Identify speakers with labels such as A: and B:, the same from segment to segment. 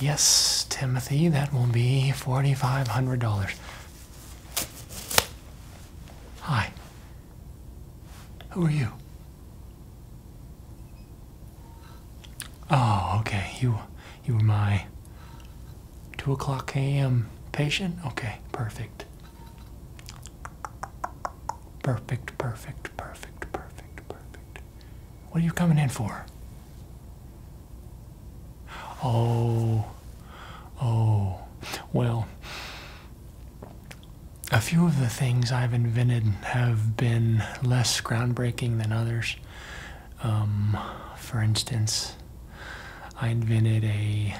A: Yes, Timothy, that will be $4,500. Hi. Who are you? Oh, okay. You, you were my 2 o'clock a.m. patient? Okay, perfect. Perfect, perfect, perfect, perfect, perfect. What are you coming in for? Oh, oh, well, a few of the things I've invented have been less groundbreaking than others. Um, for instance, I invented a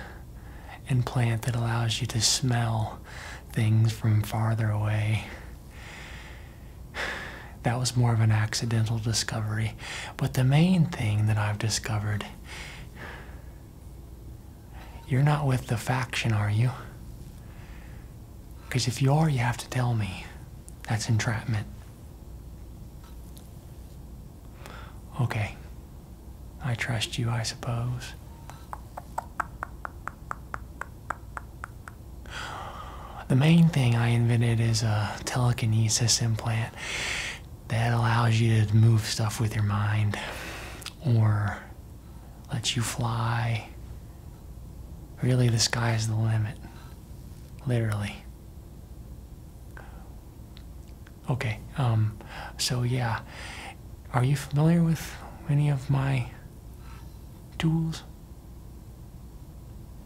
A: implant that allows you to smell things from farther away that was more of an accidental discovery. But the main thing that I've discovered you're not with the faction, are you? Because if you are, you have to tell me. That's entrapment. Okay. I trust you, I suppose. The main thing I invented is a telekinesis implant that allows you to move stuff with your mind or lets you fly. Really, the sky's the limit. Literally. Okay, um, so yeah. Are you familiar with any of my tools?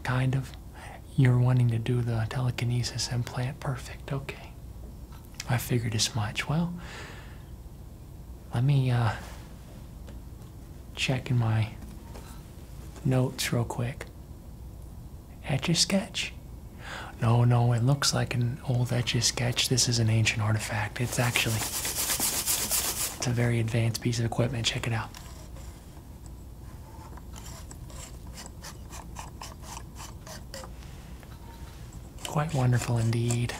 A: Kind of. You're wanting to do the telekinesis implant. Perfect. Okay. I figured as much. Well, let me uh, check in my notes real quick. Etch a sketch? No, no, it looks like an old etch a sketch. This is an ancient artifact it's actually it's a very advanced piece of equipment. Check it out. Quite wonderful indeed.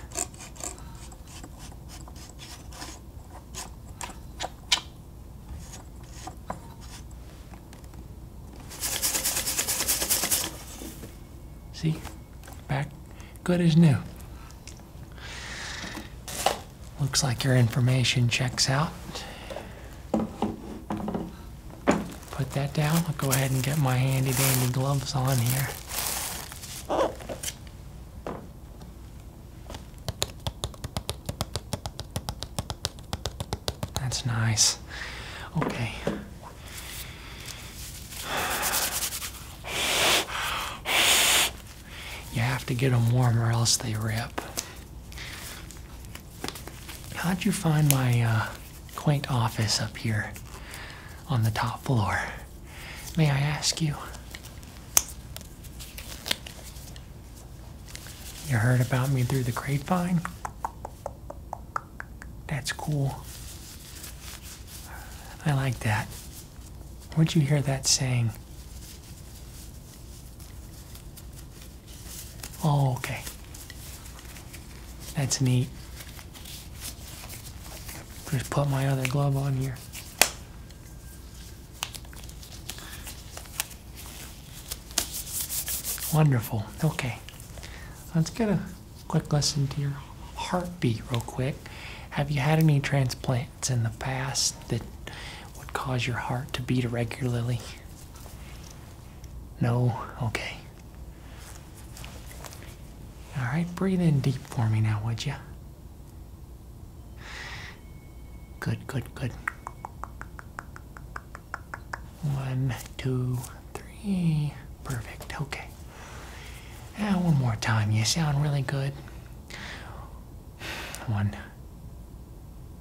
A: See? Back good as new. Looks like your information checks out. Put that down. I'll go ahead and get my handy dandy gloves on here. That's nice. Okay. You have to get them warm or else they rip. How'd you find my uh, quaint office up here on the top floor? May I ask you? You heard about me through the grapevine? That's cool. I like that. Would you hear that saying? Oh, okay. That's neat. Just put my other glove on here. Wonderful. Okay. Let's get a quick listen to your heartbeat real quick. Have you had any transplants in the past that would cause your heart to beat irregularly? No? Okay. All right, breathe in deep for me now, would you? Good, good, good. One, two, three. Perfect. Okay. Yeah, one more time. You sound really good. One,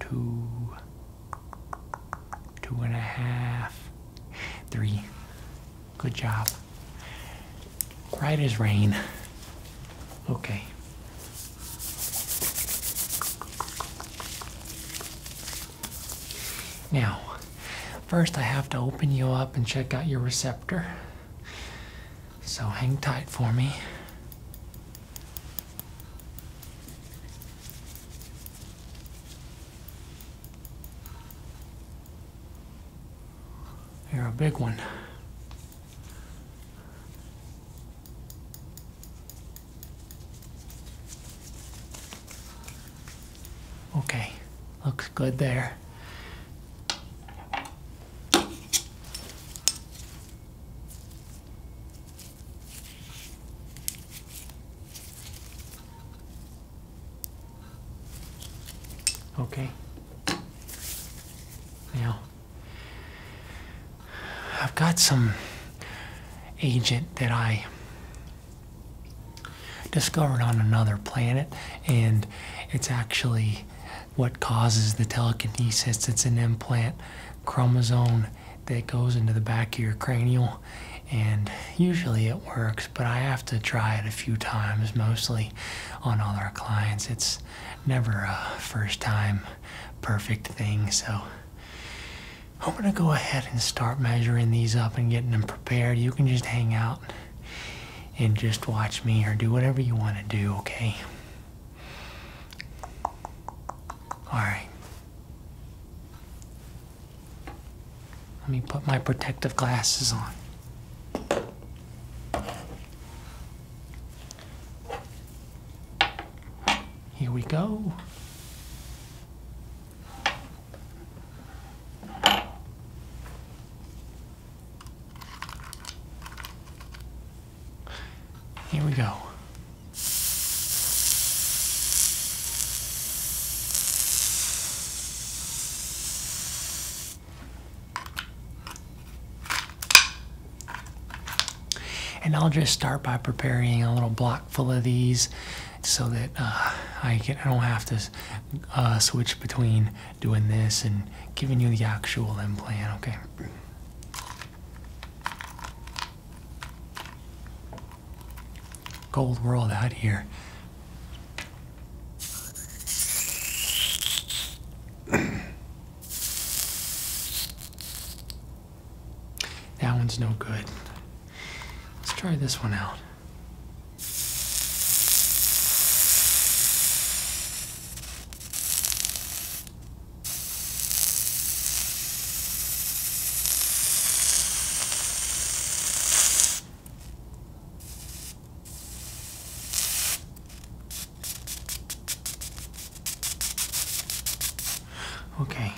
A: two, two and a half, three. Good job. Right as rain. Okay. Now, First, I have to open you up and check out your receptor. So hang tight for me. You're a big one. Okay, looks good there. Okay. Now, I've got some agent that I discovered on another planet, and it's actually what causes the telekinesis. It's an implant chromosome that goes into the back of your cranial, and usually it works, but I have to try it a few times, mostly on all our clients. It's never a first time perfect thing, so. I'm gonna go ahead and start measuring these up and getting them prepared. You can just hang out and just watch me or do whatever you want to do, okay? Alright. Let me put my protective glasses on. Here we go. Here we go. And I'll just start by preparing a little block full of these so that uh, I, get, I don't have to uh, switch between doing this and giving you the actual implant, okay? Gold world out here. that one's no good. Let's try this one out. Okay,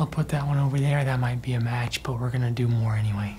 A: I'll put that one over there. That might be a match, but we're gonna do more anyway.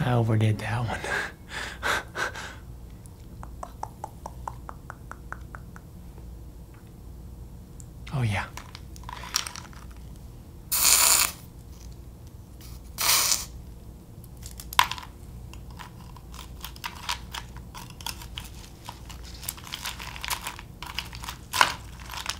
A: I overdid that one. oh, yeah.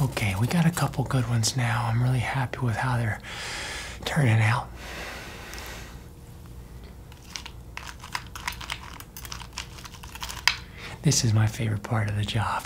A: Okay, we got a couple good ones now. I'm really happy with how they're turning out. This is my favorite part of the job.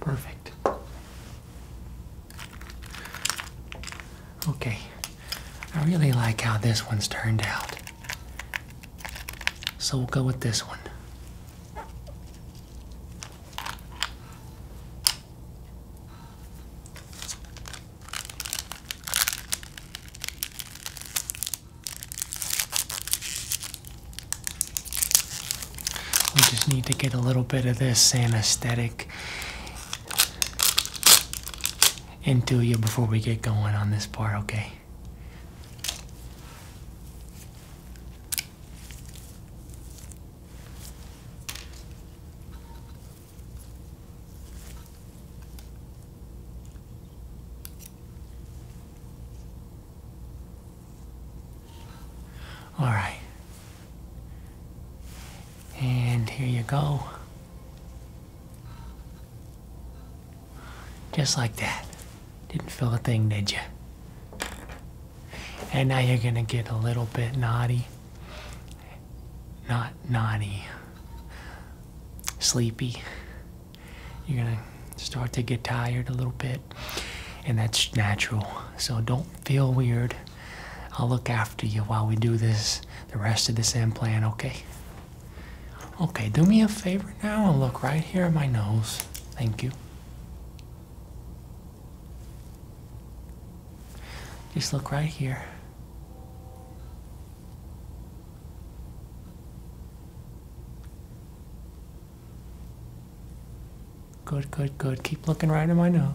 A: Perfect. Okay. I really like how this one's turned out. So we'll go with this one. We just need to get a little bit of this anesthetic into you before we get going on this part, okay? All right. And here you go. Just like that. Didn't feel a thing, did you? And now you're gonna get a little bit naughty. Not naughty. Sleepy. You're gonna start to get tired a little bit. And that's natural. So don't feel weird. I'll look after you while we do this, the rest of this plan, okay? Okay, do me a favor now and look right here at my nose. Thank you. Just look right here. Good, good, good. Keep looking right at my nose.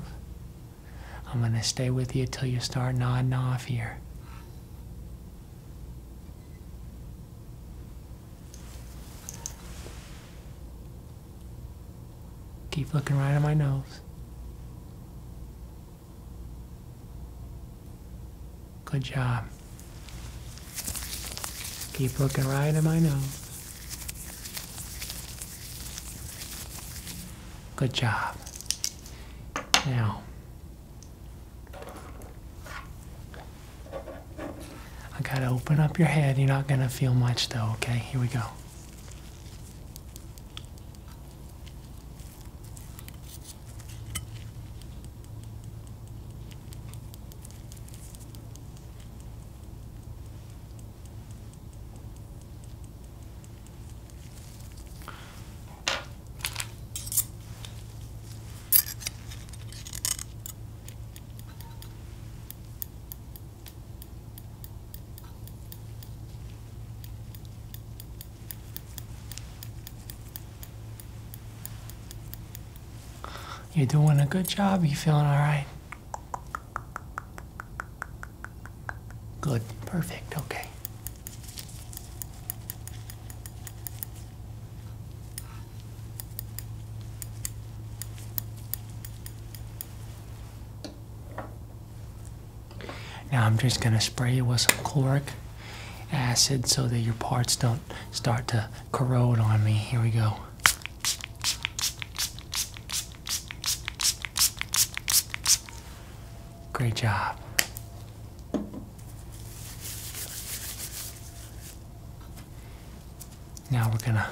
A: I'm going to stay with you till you start nodding off here. Keep looking right at my nose. Good job. Keep looking right at my nose. Good job. Now, I gotta open up your head. You're not gonna feel much though, okay? Here we go. You're doing a good job. You feeling all right? Good. Perfect. Okay. Now I'm just going to spray it with some chloric acid so that your parts don't start to corrode on me. Here we go. Great job. Now we're gonna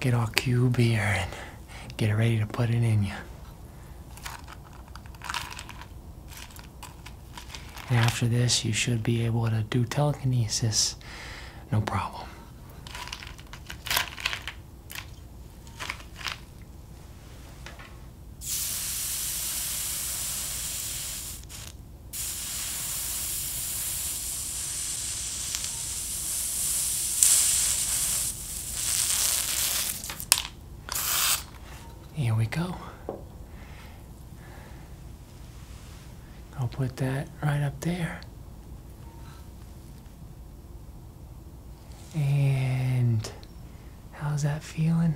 A: get our cube here and get it ready to put it in you. And after this, you should be able to do telekinesis no problem. Here we go. I'll put that right up there. And how's that feeling?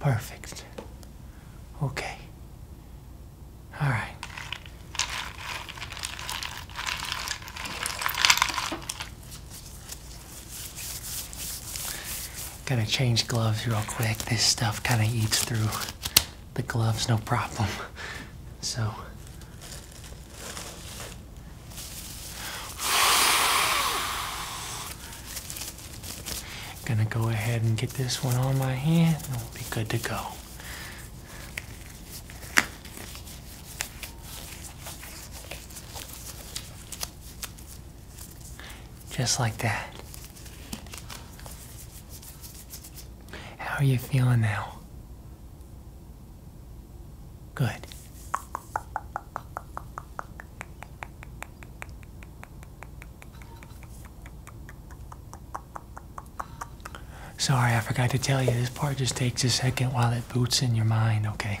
A: Perfect. Okay. All right. Gonna change gloves real quick. This stuff kind of eats through the gloves, no problem. So, Gonna go ahead and get this one on my hand and we'll be good to go. Just like that. How are you feeling now? Good. Sorry, I forgot to tell you, this part just takes a second while it boots in your mind, okay?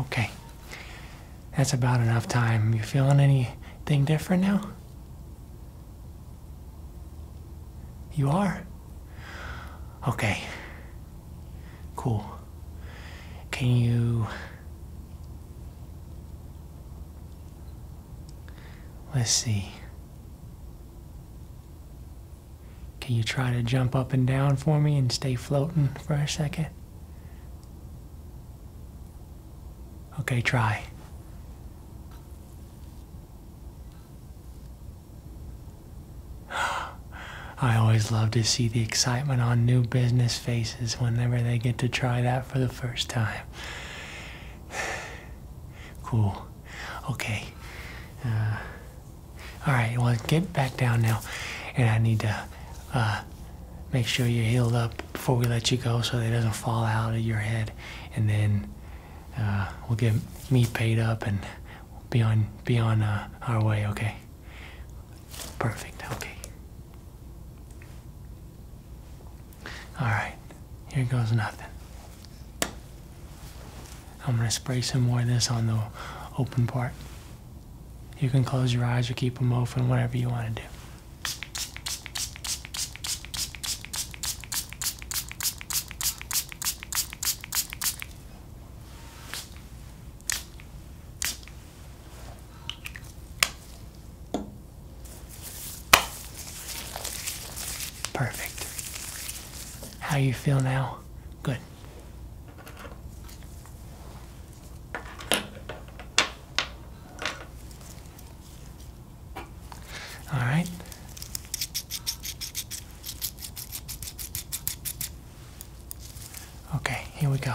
A: Okay. That's about enough time. You feeling anything different now? You are? Okay. Cool. Can you. Let's see. Can you try to jump up and down for me and stay floating for a second? Okay, try. I always love to see the excitement on new business faces whenever they get to try that for the first time. Cool. Okay. Uh, all right, well, get back down now. And I need to uh, make sure you're healed up before we let you go so it doesn't fall out of your head. And then uh, we'll get me paid up and be on, be on uh, our way, okay? Perfect, okay. All right, here goes nothing. I'm gonna spray some more of this on the open part. You can close your eyes or keep them open, whatever you wanna do. Perfect. How you feel now? Good. All right. Okay, here we go.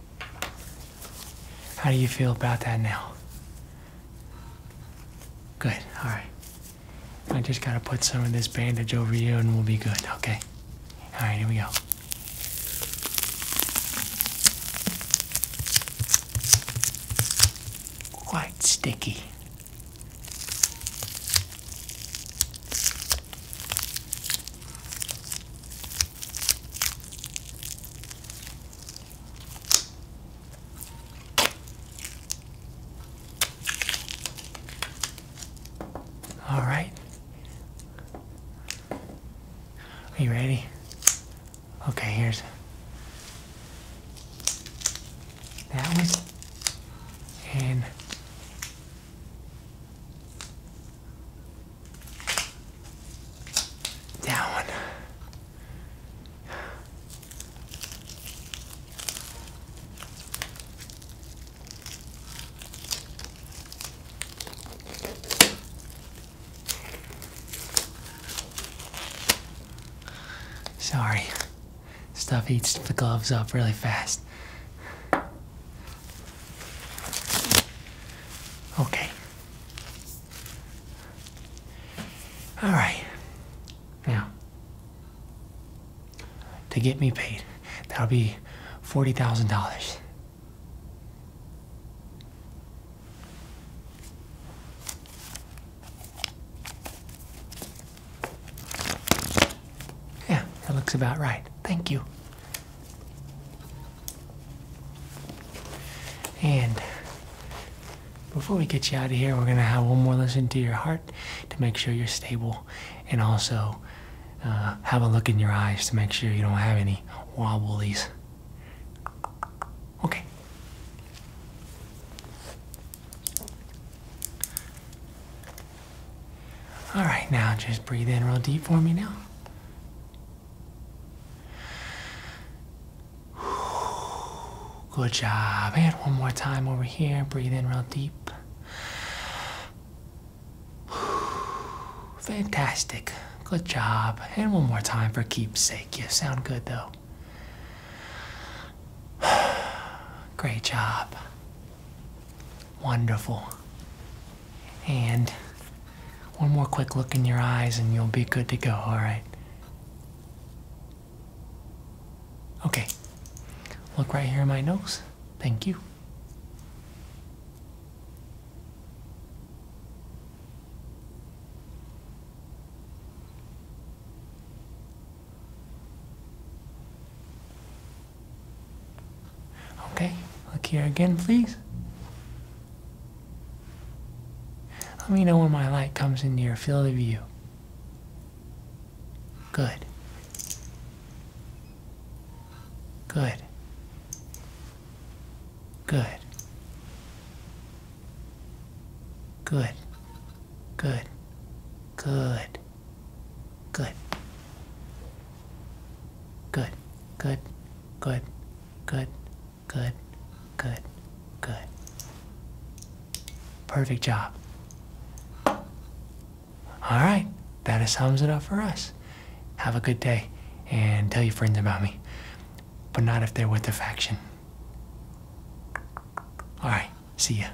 A: how do you feel about that now? Good, all right. I just gotta put some of this bandage over you and we'll be good, okay? All right, here we go. Quite sticky. All right. Are you ready? Okay, here's that one. And that one. Sorry, stuff eats the gloves up really fast. Okay. All right. Now, to get me paid, that'll be $40,000. Yeah, that looks about right. Thank you. And before we get you out of here, we're going to have one more listen to your heart to make sure you're stable and also uh, have a look in your eyes to make sure you don't have any wobblies. Okay. All right, now just breathe in real deep for me now. Good job. And one more time over here. Breathe in real deep. Fantastic. Good job. And one more time for keepsake. You sound good though. Great job. Wonderful. And one more quick look in your eyes and you'll be good to go, all right? Okay. Look right here in my nose. Thank you. Okay, look here again, please. Let me know when my light comes in your field of view. Good. Good. Good. Good. Good. Good. Good. Good. Good. Good. Good. Good. Good. Good. Perfect job. All right. That sums it up for us. Have a good day and tell your friends about me, but not if they're with the faction. All right. See ya.